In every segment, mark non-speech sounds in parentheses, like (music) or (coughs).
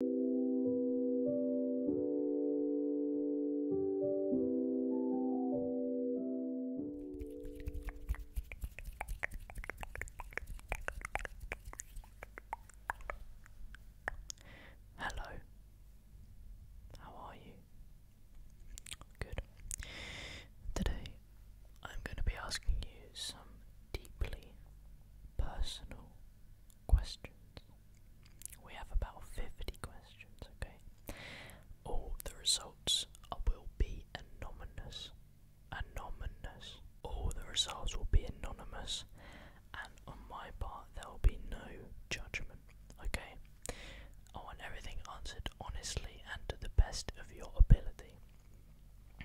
Hello. How are you? Good. Today I'm going to be asking you some deeply personal questions. We have about 50 questions, okay? All the results will be anonymous. Anonymous. All the results will be anonymous, and on my part, there will be no judgment, okay? I want everything answered honestly and to the best of your ability.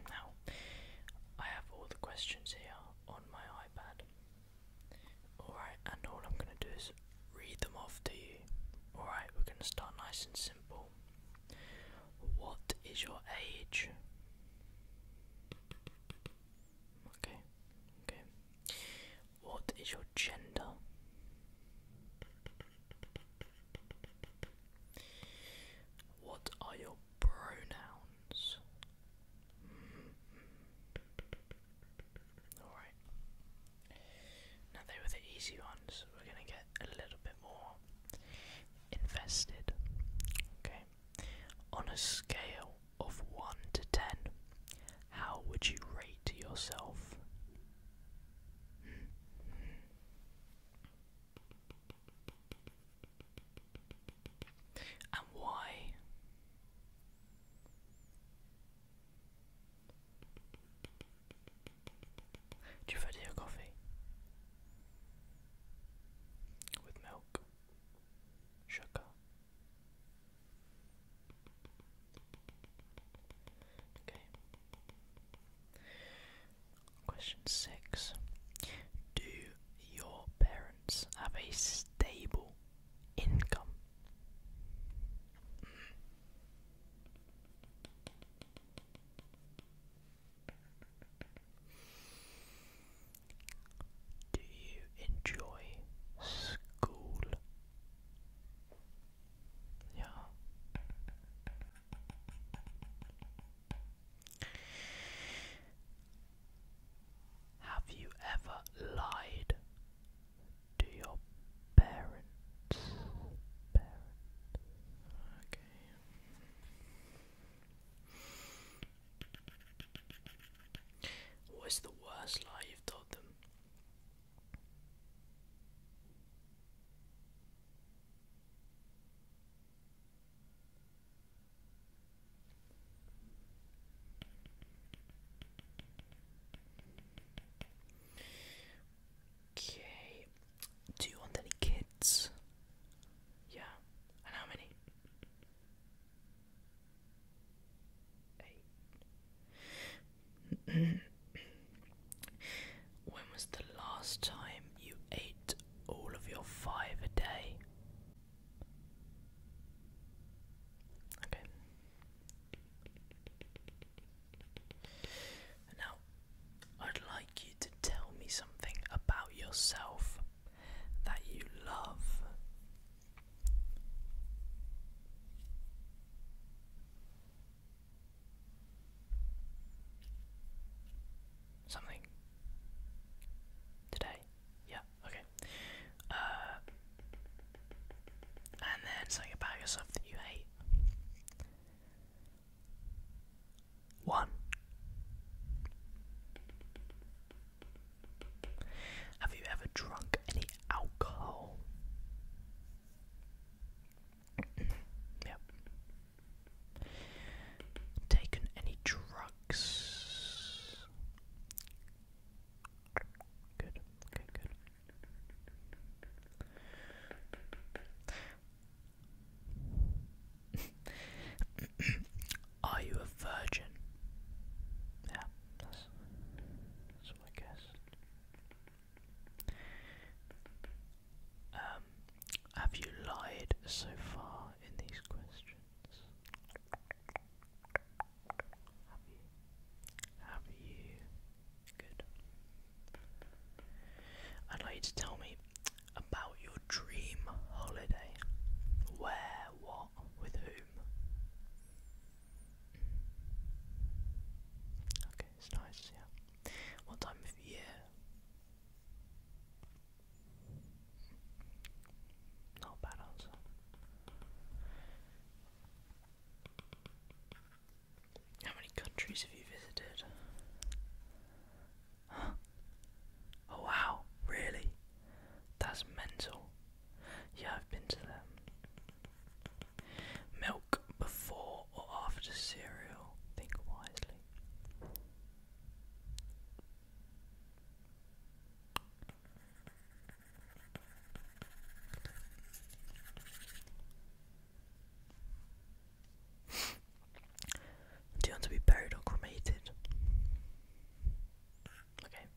Now, I have all the questions here my iPad. Alright, and all I'm going to do is read them off to you. Alright, we're going to start nice and simple. What is your age? Okay, okay. What is your gender? What are your pronouns. Alright. Now, they were the easy ones. We're going to get a little bit more invested. Okay. On a scale of 1 to 10, how would you rate yourself? And why? Do you prefer your coffee? With milk, sugar. Okay. Question six Do your parents have a stable income? Do you enjoy school? Yeah. Have you ever lied to your parents? Okay. What is the worst lie you've told them? Okay. Do you want any kids? Yeah. And how many? Eight. When was the last time you ate all of your five a day? Okay. Now, I'd like you to tell me something about yourself that you love something today. Yeah, okay. Uh, and then something about yourself that you hate. One. Have you ever drunk any alcohol? yep. Taken any drugs? Good, okay, good. (laughs) Are you a virgin? Yeah, that's, that's what guess. Um, have you lied so far in these questions? Have you? Have you? Good. I'd like you to tell me about your dream holiday. Where, what, with whom? Okay, it's nice, yeah. What time of year? Not bad answer. How many countries have you visited? Oh wow, really? That's mental. Yeah, I've been to them. Milk before or after cereal? Think wisely. Do you want to be buried or cremated? Okay.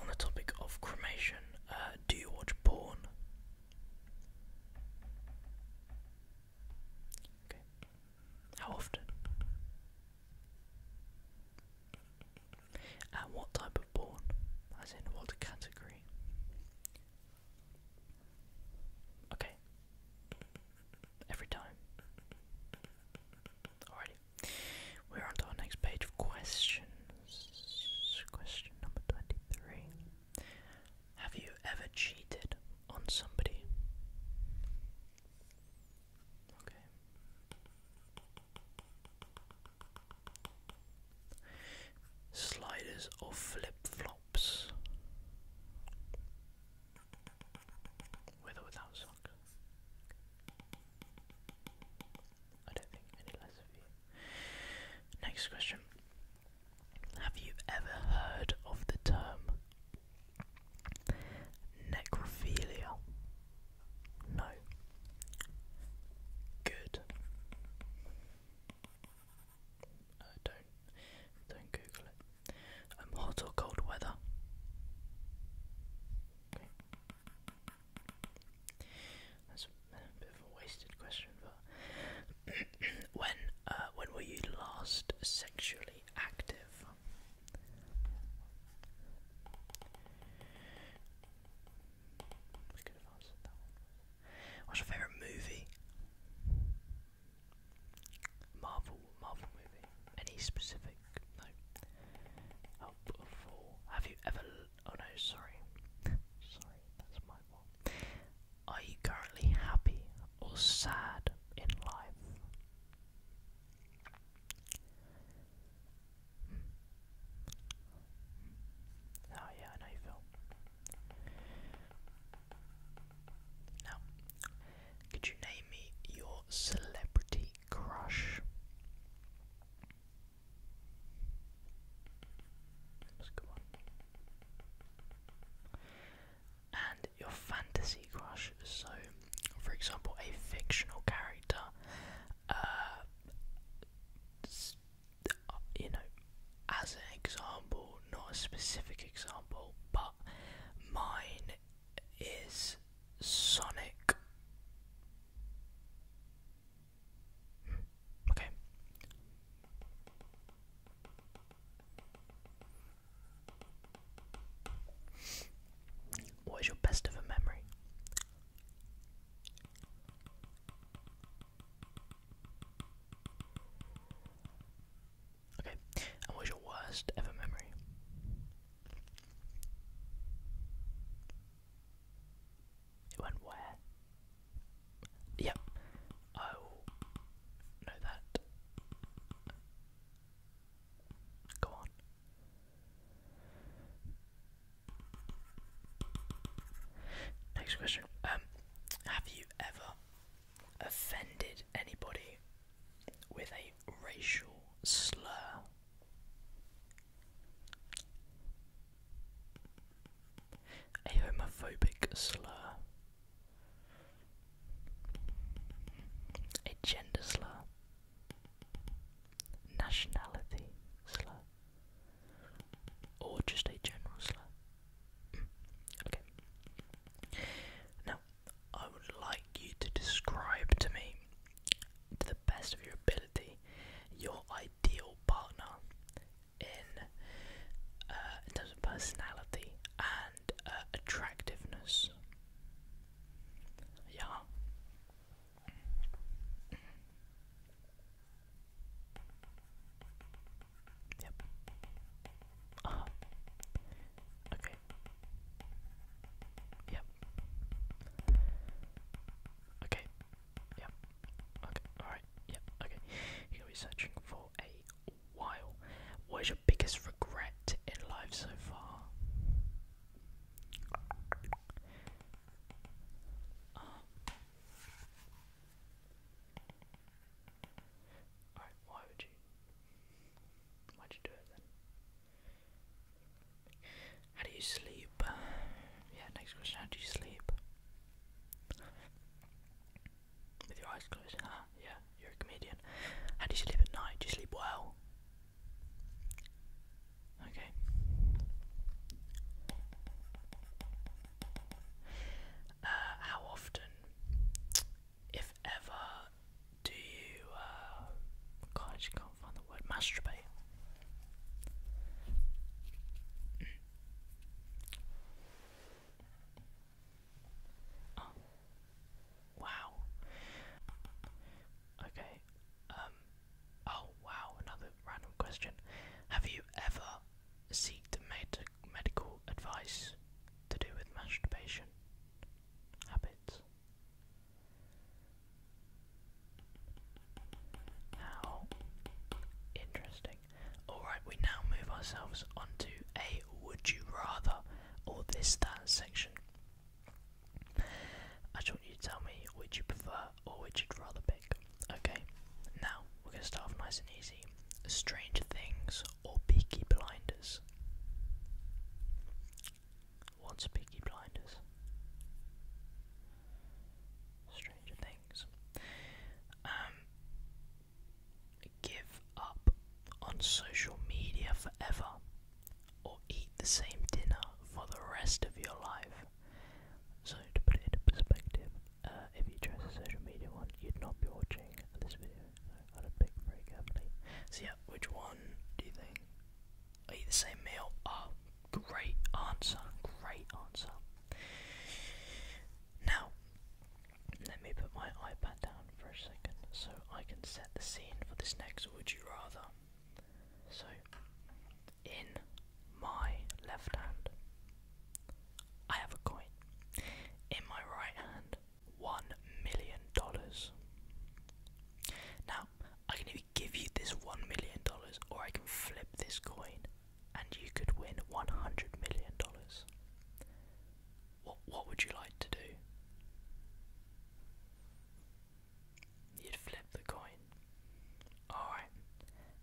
On the topic of cremation, uh, do you watch porn? Okay. How often? And what type of porn? As in what category? Okay. Every time. Alrighty. We're on our next page of questions. Question number 23. Have you ever cheated on somebody? Sliders or flip flops? With without socks? I don't think any less of you. Next question. Have you ever heard of the term necrophilia? No. Good. Uh, don't don't Google it hot or cold weather. That's a bit of a wasted question, but (clears throat) when uh, when were you last sexually active? What's your favourite movie? Marvel, Marvel movie. Any specific? No. Help Have you ever? Oh no, sorry. (laughs) sorry, that's my fault. Are you currently happy or sad in life? Hmm. Oh yeah, I know you feel. Now, could you name me your celebrity crush? And your fantasy crush, so for example, a fictional character, uh, uh, you know, as an example, not a specific example, but mine is Sonic. Okay. What is your best of a memory? Okay, what was your worst ever memory? It went where? Yep, I oh, know that. Go on. Next question. Um, have you ever offended anybody with a racial slur. A homophobic slur. A gender slur. Nationality slur. Or just a general slur. Okay. Now, I would like you to describe to me, to the best of your ability, your ideal partner in uh, terms of personality and uh, attractiveness. Yeah. Yep. Uh Okay. Yep. Okay. Yep. Okay. Alright. Yep. Okay. You're gonna be searching for a while. What is your biggest regret in life so far? Uh, Alright, why would you? Why'd you do it then? How do you sleep? Yeah, next question. How do you sleep? With your eyes closed, Yeah, you're a comedian. How do you sleep at night? Do you sleep well? Okay. Uh, how often, if ever, do you, uh, God, I just can't find the word, masturbate? Mm. Oh. Wow. Okay. Um. Oh wow. Another random question. Have you ever seen a mate medical advice to do with masturbation habits. How interesting. Alright, we now move ourselves onto a would you rather or this that section. I just want you to tell me would you prefer or which you'd rather pick. Okay, now we're going to start off nice and easy Stranger Things or Peaky Blinders? What's Peaky Blinders? Stranger Things. Um, give up on social media forever or eat the same dinner for the rest of your life. So to put it into perspective, uh, if you chose a social media one, you'd not be watching this video. So I'd very carefully. So yeah, which one do you think? Are you the same meal? Oh, great answer, great answer. Now, let me put my iPad down for a second so I can set the scene for this next Would You Rather. So, in my left hand, I have a coin. In my right hand, one million dollars. Now, I can either give you this one million dollars or I can flip this coin and you could win one hundred million dollars. What what would you like to do? You'd flip the coin. Alright.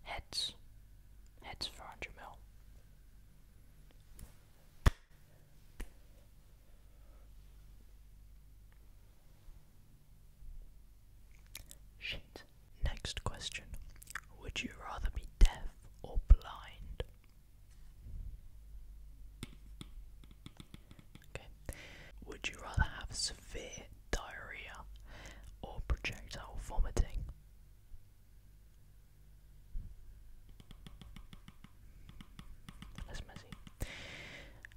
Heads. Heads for mil. Shit. Next question. Would you rather be deaf or blind? Okay. Would you rather have severe diarrhea, or projectile vomiting. That's messy.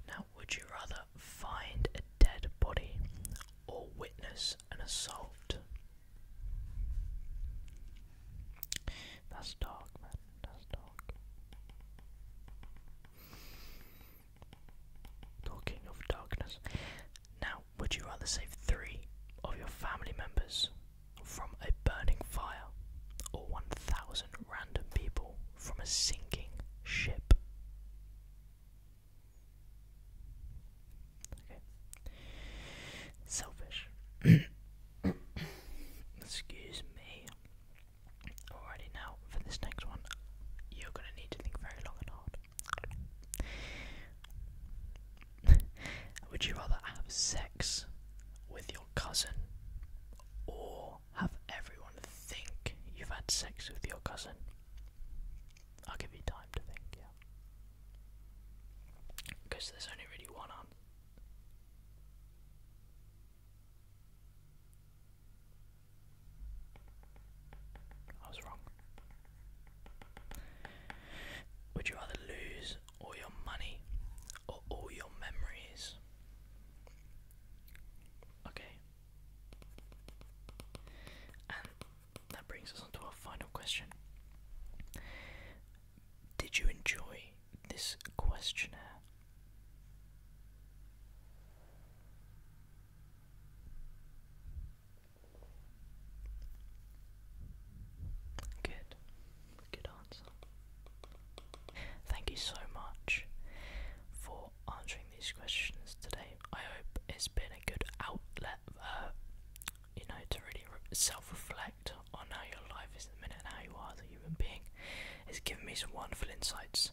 Now, would you rather find a dead body or witness an assault? That's dark, man. That's dark. Talking of darkness. Now, would you rather save three of your family members from a burning fire or 1,000 random people from a sinking ship? Okay. Selfish. (coughs) Excuse me. Alrighty, now for this next one, you're gonna need to think very long and hard. (laughs) Would you rather have sex with your cousin or have everyone think you've had sex with your cousin? I'll give you time to think, yeah. Because there's only really one answer. I was wrong. Would you rather lose all your money or all your memories? Okay. And that brings us on our final question. Did you enjoy this questionnaire? Good. Good answer. Thank you so much for answering these questions today. I hope it's been a good outlet, uh, you know, to really self-reflect on how your life is at the minute and how you are as a human being. It's given me some wonderful insights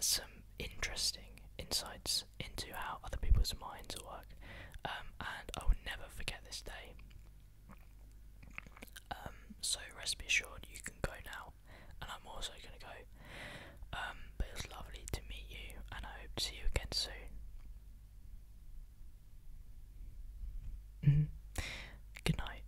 some interesting insights into how other people's minds work, um, and I will never forget this day. Um, so rest assured, you can go now, and I'm also gonna go. Um, but it's lovely to meet you, and I hope to see you again soon. Mm-hmm. Good night.